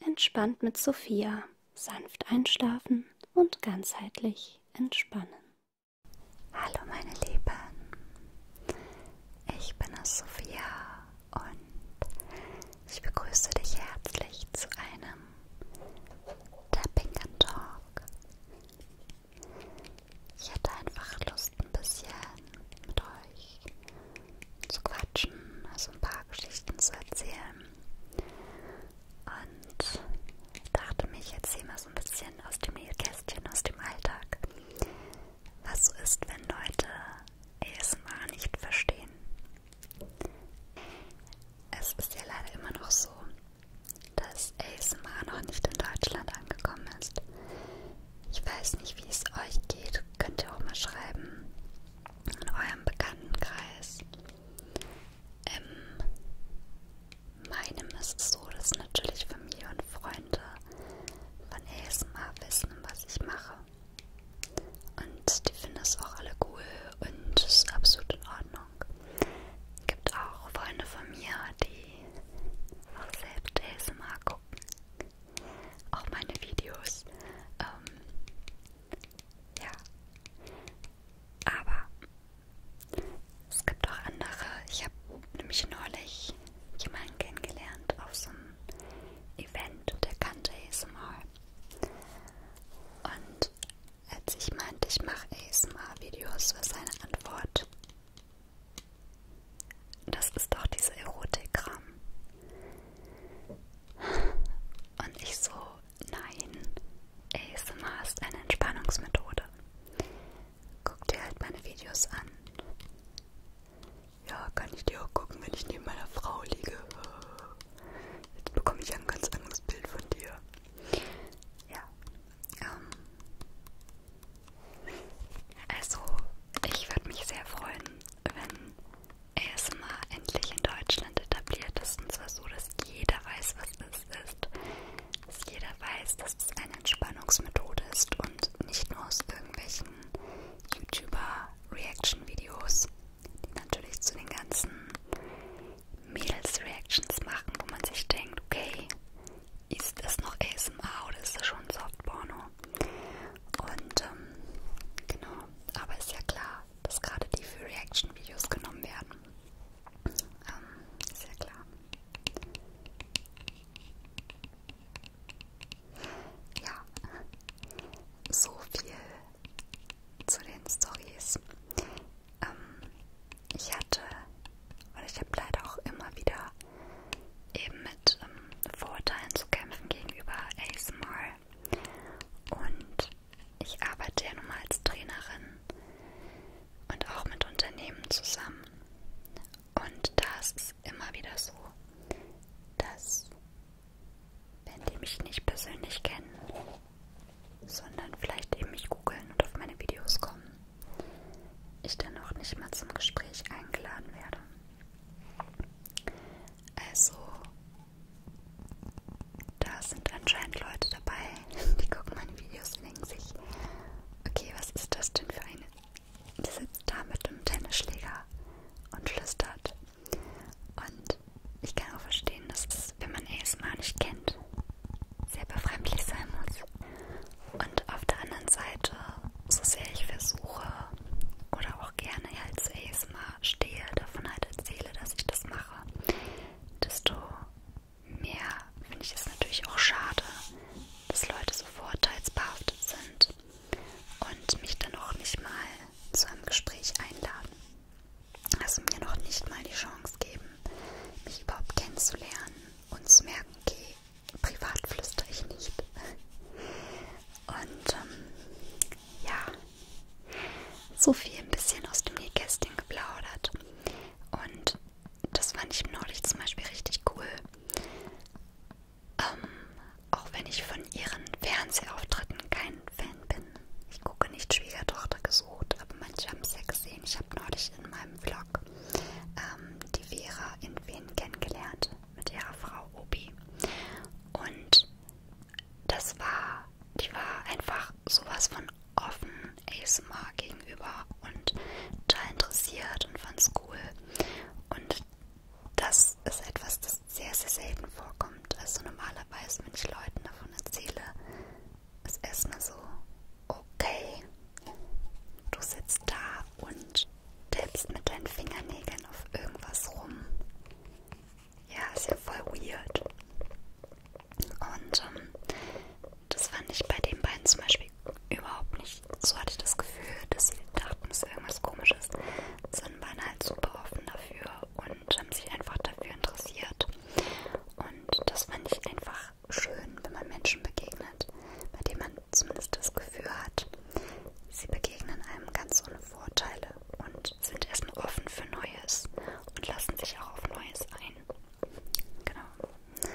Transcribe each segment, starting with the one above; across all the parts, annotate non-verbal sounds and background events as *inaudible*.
Entspannt mit Sophia. Sanft einschlafen und ganzheitlich entspannen. Hallo meine Lieben. Ich bin es Sophia und ich begrüße dich herzlich zu einem Tapping and Talk. Ich hatte einfach Lust ein bisschen mit euch zu quatschen, also ein paar Geschichten zu erzählen. Und dachte mich jetzt hier mal so ein bisschen aus dem Nähkästchen, aus dem Alltag. Was so ist, wenn Leute ASMR nicht verstehen? Es ist ja leider immer noch so, dass ASMR noch nicht in Deutschland angekommen ist. Ich weiß nicht, wie es euch geht. Könnt ihr auch mal schreiben, in eurem Bekanntenkreis. In ähm, meinem ist es so, dass natürlich Familie und Freunde von ASMR wissen, was ich mache. Und die finden es auch alle cool und es ist absolut in Ordnung. Es gibt auch Freunde von mir, die auch selbst ASMR gucken. Auch meine Videos. Ähm, ja. Aber es gibt auch andere. Ich habe nämlich neulich jemanden kennengelernt auf so einem Event, der kannte ASMR. Und als ich meinte, ich mache ASMR-Videos, war seine Antwort: Das ist doch diese Erotikram. Und ich so, nein, ASMR ist eine Entspannungsmethode. Guck dir halt meine Videos an. Ja, kann ich dir auch gucken, wenn ich neben meiner Frau liege. Jetzt bekomme ich ein ganz anderes Bild von dir. Ja. Ähm, also, ich würde mich sehr freuen, wenn ASMR endlich in Deutschland etabliert ist. Und zwar so, dass jeder weiß, was es ist. Dass jeder weiß, dass es eine Entspannungsmethode ist und nicht nur aus irgendwelchen YouTuber-Reaction-Videos, die natürlich zu den ganzen Mädels-Reactions machen, wo man sich denkt, okay, ist das noch ASMR oder ist das schon Softporno? Und ähm, genau, aber ist ja klar, dass gerade die für Reaction-Videos genommen werden. Ähm, ist ja klar. Ja, so viel zu den Stories. Ähm, ich hatte, weil ich habe leider auch immer wieder eben mit ähm, Vorurteilen zu kämpfen gegenüber ASMR und ich arbeite ja nun mal als Trainerin und auch mit Unternehmen zusammen. Und das ist immer wieder so, dass wenn die mich nicht persönlich kennen, sondern vielleicht eben mich googeln und auf meine Videos kommen, ich dann auch nicht mal zum Gespräch eingeladen werde. Also, da sind anscheinend Leute dabei, die gucken meine Videos und denken sich, okay, was ist das denn für eine? Die sitzt da mit einem Tennisschläger und flüstert. Und ich kann auch verstehen, dass es, wenn man ASMR nicht kennt, sehr befremdlich sein muss. Und auf der anderen Seite, so sehr ich versuche, oder auch gerne als ASMR stehe, davon halt erzähle, dass ich das mache, desto mehr finde ich es natürlich auch schade, dass Leute so vorurteilsbehaftet sind und mich dann auch nicht mal zu einem Gespräch einladen. Also mir noch nicht mal die Chance geben, mich überhaupt kennenzulernen und zu merken, okay, privat flüstere ich nicht. *laughs* Und ähm, ja, so viel ein bisschen aus dem Nähkästchen geplaudert. Und das fand ich neulich zum Beispiel richtig cool. Ähm, auch wenn ich von ihren Fernsehauftritten kein Fan bin. Ich gucke nicht Schwiegertochter gesucht, aber manche haben es ja gesehen. Ich habe neulich in meinem Vlog ähm, die Vera in Wien kennengelernt mit ihrer Frau Obi. Und das war, die war einfach sowas von offen ASMR gegenüber und da interessiert und fand's cool. Und das ist etwas, das sehr, sehr selten vorkommt. Also normalerweise, wenn ich Leuten davon erzähle, ist erstmal so, okay, du sitzt da und tippst mit deinen Fingernägeln auf irgendwas rum ja, ist ja voll weird. Und ähm, das fand ich bei den beiden zum Beispiel überhaupt nicht. So hatte ich das Gefühl, dass sie dachten, es ist irgendwas komisches. Sind waren halt super offen dafür und haben sich einfach dafür interessiert. Und das fand ich einfach schön, wenn man Menschen begegnet, bei denen man zumindest das Gefühl hat, sie begegnen einem ganz ohne Vorteile und und sind erstmal offen für Neues und lassen sich auch auf Neues ein. Genau.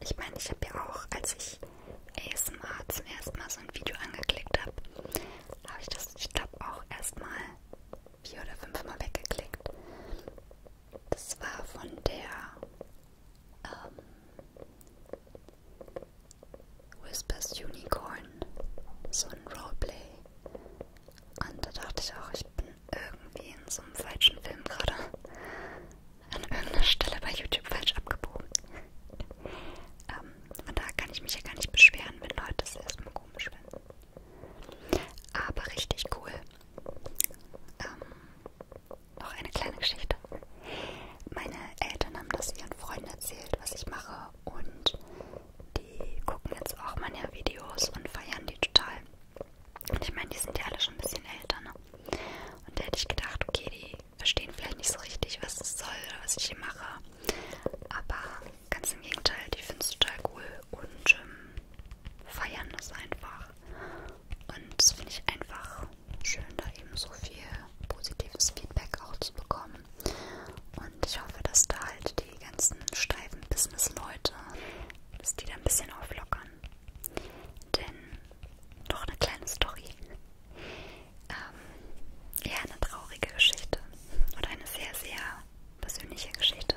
Ich meine, ich habe ja auch, als ich ASMR zum ersten Mal so ein Video angeklickt habe, habe ich das, ich glaube, auch erstmal vier oder fünfmal weggeklickt. Das war von der ähm, Whispers Unicorn, so ein Roleplay. Und da dachte ich auch, ich bin irgendwie in so einem falschen Film gerade. An irgendeiner Stelle bei YouTube falsch abgebogen. ähm, von daher kann ich mich ja gar nicht beschweren, wenn Leute es erstmal komisch finden. Aber richtig cool. Ähm, noch eine kleine Geschichte. Meine Eltern haben das ihren Freunden erzählt, was ich mache und die gucken jetzt auch meine Videos und feiern die total. Und ich meine, die sind ja alle schon ein bisschen älter, ne? Und da hätte ich gedacht, okay, die verstehen vielleicht nicht so richtig, was es soll oder was ich hier mache. Aber ganz im Gegenteil, die finden es total cool und ähm, feiern das einfach. Und das finde ich einfach schön, da eben so viel positives Feedback auch zu bekommen. Und ich hoffe, dass da halt die ganzen steifen Business-Leute, dass die da ein bisschen auflockern. Denn noch eine kleine Story. Ähm, ja, eine traurige Geschichte. Oder eine sehr, sehr persönliche Geschichte.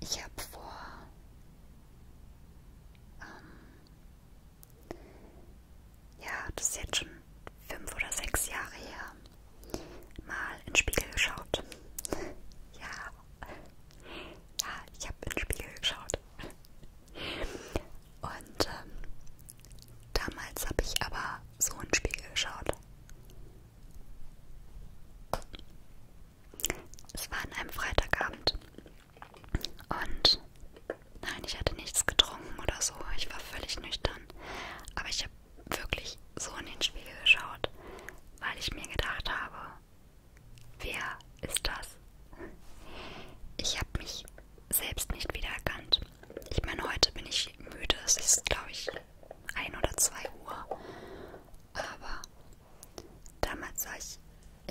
Ich habe vor ähm, ja, das ist jetzt schon fünf oder sechs Jahre her, mal in den Spiegel geschaut. ja, ja, ich habe in den Spiegel geschaut. Und ähm, damals habe ich aber so in den Spiegel geschaut. Es war an einem Freitagabend und Nein, ich hatte nichts getrunken oder so. Ich war völlig nüchtern. Aber ich habe wirklich so in den Spiegel geschaut, weil ich mir gedacht habe, wer ist das? Ich habe mich selbst nicht wiedererkannt. Ich meine, heute bin ich müde. Es ist, glaube ich, ein oder zwei Uhr. Aber damals sah ich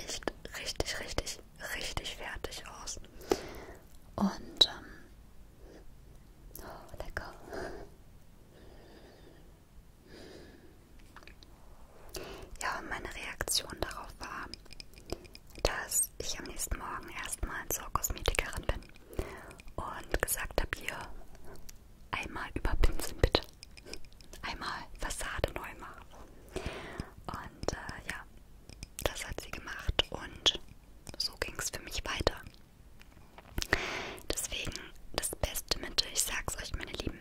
echt richtig, richtig richtig fertig aus. Und ähm, oh, lecker. Ja, meine Reaktion darauf war, dass ich am nächsten Morgen erstmal zur Kosmetikerin bin und gesagt habe, hier einmal überpinseln bitte. Einmal Fassade neu machen. Und äh, ja, das hat sie gemacht und so ging es für mich weiter. Deswegen das beste Mittel, ich sag's euch, meine Lieben,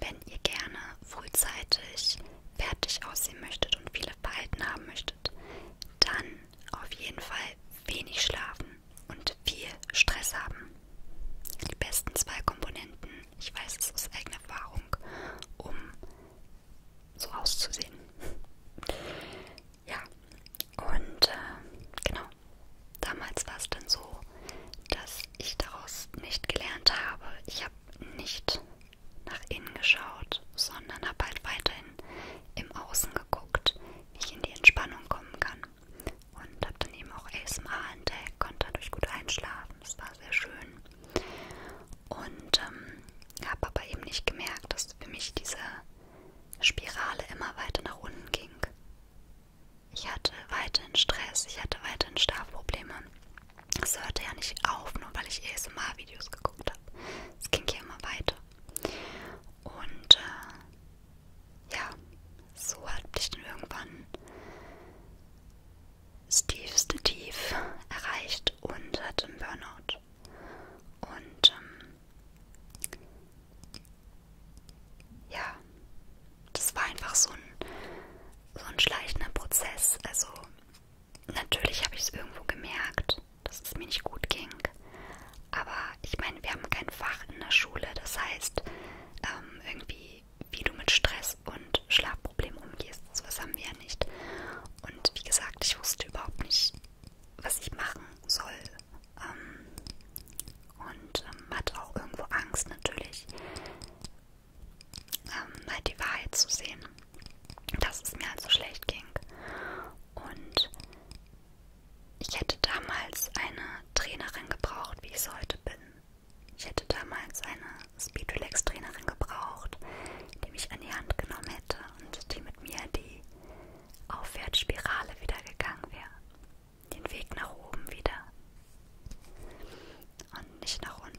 wenn ihr gerne frühzeitig fertig aussehen möchtet und viele Falten haben möchtet, dann auf jeden Fall wenig schlafen und viel Stress haben. Die besten zwei Komponenten, ich weiß es aus eigener Erfahrung, um so auszusehen. Ja, und äh, genau, damals war es dann so, dass ich daraus nicht gelernt habe. Ich habe nicht nach innen geschaut, sondern habe halt weiterhin im Außen geguckt, wie ich in die Entspannung kommen kann. Und habe dann eben auch ASMR entdeckt, konnte dadurch gut einschlafen. Es war sehr schön. Und ähm, habe aber eben nicht gemerkt, dass für mich diese Spirale immer weiter nach unten ging. Ich hatte weiterhin Stress, ich hatte weiterhin Schlafprobleme. Es hörte ja nicht auf, nur weil ich ASMR-Videos geguckt habe. Es ging ja immer weiter. Und äh, ja, so hat mich dann irgendwann das tiefste Tief erreicht und hatte einen Burnout. Und ähm, ja, das war einfach so ein, so ein schleichender Prozess. Also natürlich habe ich es irgendwo gemerkt, dass es mir nicht gut ging. Aber ich meine, wir haben kein Fach in der Schule. Das heißt, ähm, irgendwie, wie du mit Stress und Schlaf Problemen umgehst. Sowas haben wir ja nicht. Und wie gesagt, ich wusste überhaupt nicht, was ich machen soll. Ähm, und ähm, hatte auch irgendwo Angst natürlich, ähm, halt die Wahrheit zu sehen, dass es mir halt so schlecht ging. Und ich hätte damals eine Trainerin gebraucht, wie ich es heute bin. Ich hätte damals eine Speedrelax-Trainerin gebraucht, die mich an die Hand genommen hätte und die mit mir die Aufwärtsspirale wieder gegangen wäre. Den Weg nach oben wieder. Und nicht nach unten.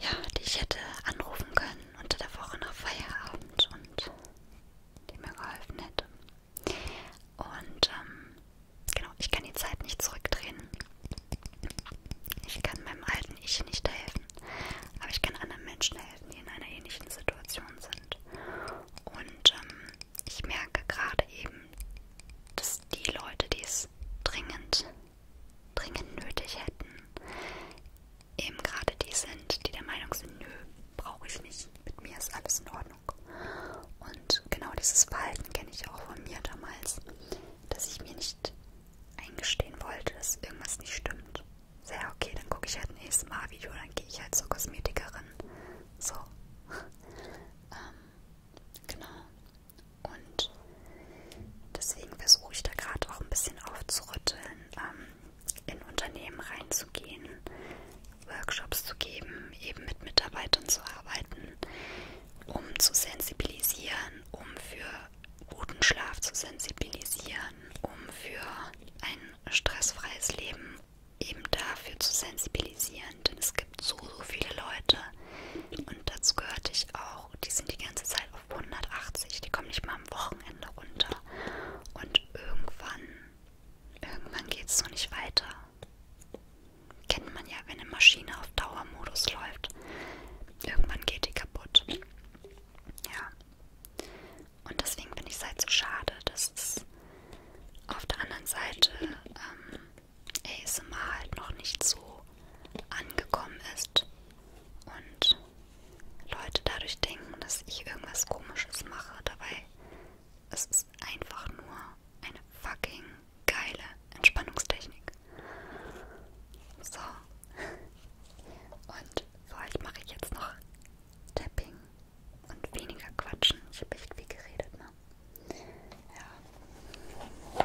Ja, die ich hätte anrufen können unter der Woche nach Feierabend und die mir geholfen hätte. Und ähm, genau, ich kann die Zeit nicht zurückdrehen. Ich kann meinem alten Ich nicht helfen, aber ich kann anderen Menschen helfen, die in einer ähnlichen Situation sind. Und ähm, ich merke gerade eben, dass die Leute, die es dringend, dringend nötig hätten, eben gerade die sind, die der Meinung sind, nö, brauche ich nicht, mit mir ist alles in Ordnung. Und genau dieses Verhalten kenne ich auch von mir damals, dass ich mir nicht eingestehen wollte, dass irgendwas nicht stimmt. So, ja, okay, dann gucke ich halt nächstes Mal Video, dann gehe ich halt zur Kosmetikerin. So. *laughs* ähm, genau. Und deswegen versuche ich da gerade auch ein bisschen aufzurütteln, ähm, in Unternehmen reinzugehen, Workshops zu geben, eben mit Mitarbeitern zu arbeiten, um zu sensibilisieren, um für guten Schlaf zu sensibilisieren, um für ein stressfreies Leben eben dafür zu sensibilisieren. Denn es gibt so, so viele Leute und dazu gehörte ich auch, die sind die ganze Zeit auf 180, die kommen nicht mal am Wochenende runter und irgendwann, irgendwann geht es so nicht weiter. Kennt man ja, wenn eine Maschine auf Dauermodus läuft, irgendwann geht die kaputt. Ja. Und deswegen finde ich es halt so schade, dass es auf der anderen Seite ähm, ASMR halt noch nicht so angekommen ist und Leute dadurch denken, dass ich irgendwas komisches mache. Dabei es ist es einfach nur eine fucking geile Entspannungstechnik. So. Und für euch mache ich jetzt noch Tapping und weniger quatschen. Ich habe echt viel geredet, ne? Ja. So.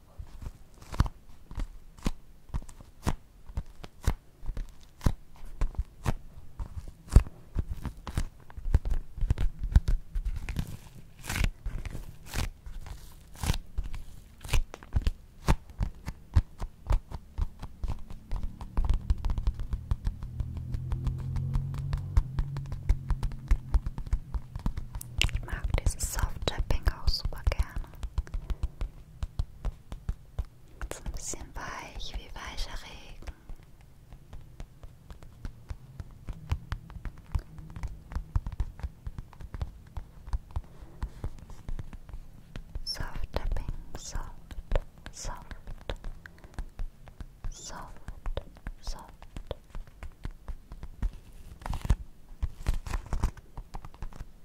Ich mag dieses Soft-Tapping auch super gerne. So ein bisschen weich wie weicher Regen. Soft tapping, soft, soft, soft, soft.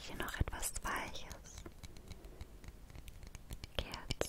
Hier noch etwas Weiches. Kerze.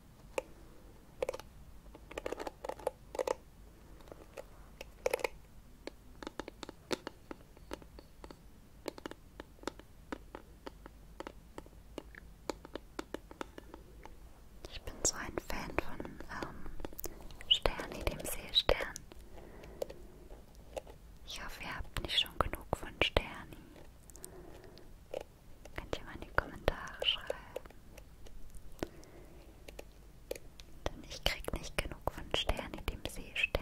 Ich bin so ein Fan von ähm, Sterni, dem Seestern. Ich hoffe, ihr habt nicht schon genug von Sterni. Könnt ihr mal in die Kommentare schreiben. Denn ich krieg nicht genug von Stern in dem Seestern.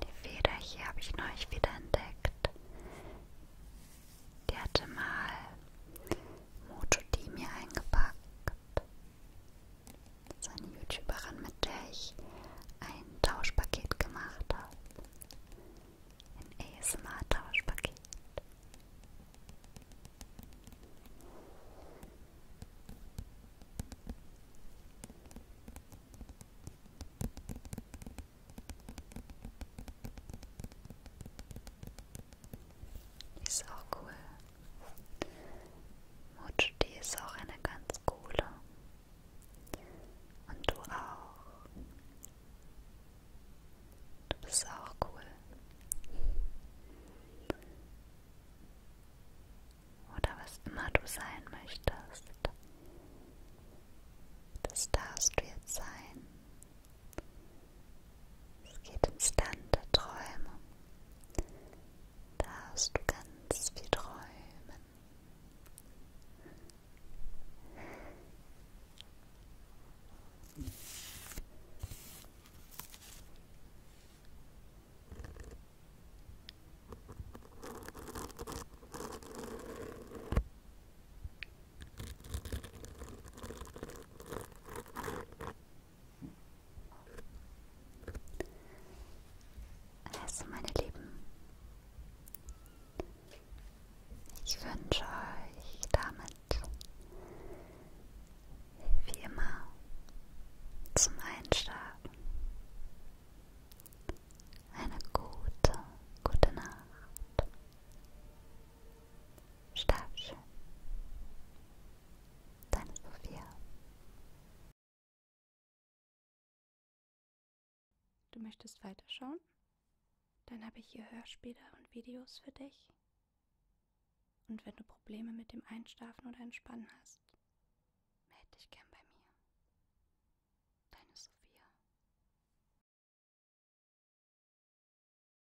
Die Feder hier habe ich neulich wieder entdeckt. Die hatte mal Moto-Team hier eingepackt. Das ist eine YouTuberin, mit der ich ein Tauschpaket gemacht habe. Ein ASMR-Tauschpaket. Die ist auch cool. Mojo, die ist auch eine ganz coole. Und du auch. Du bist auch cool. Oder was immer du sein möchtest. Das darfst du jetzt sein. Es geht ins Land der Träume. Darfst du ganz viel träumen. Also meine Lieben, ich wünsche euch damit wie immer zum Einschlafen eine gute, gute Nacht. Schlaf schön. Deine Sophia. Du möchtest weiterschauen? Dann habe ich hier Hörspiele und Videos für dich. Und wenn du Probleme mit dem Einschlafen oder Entspannen hast, melde dich gern bei mir. Deine Sophia.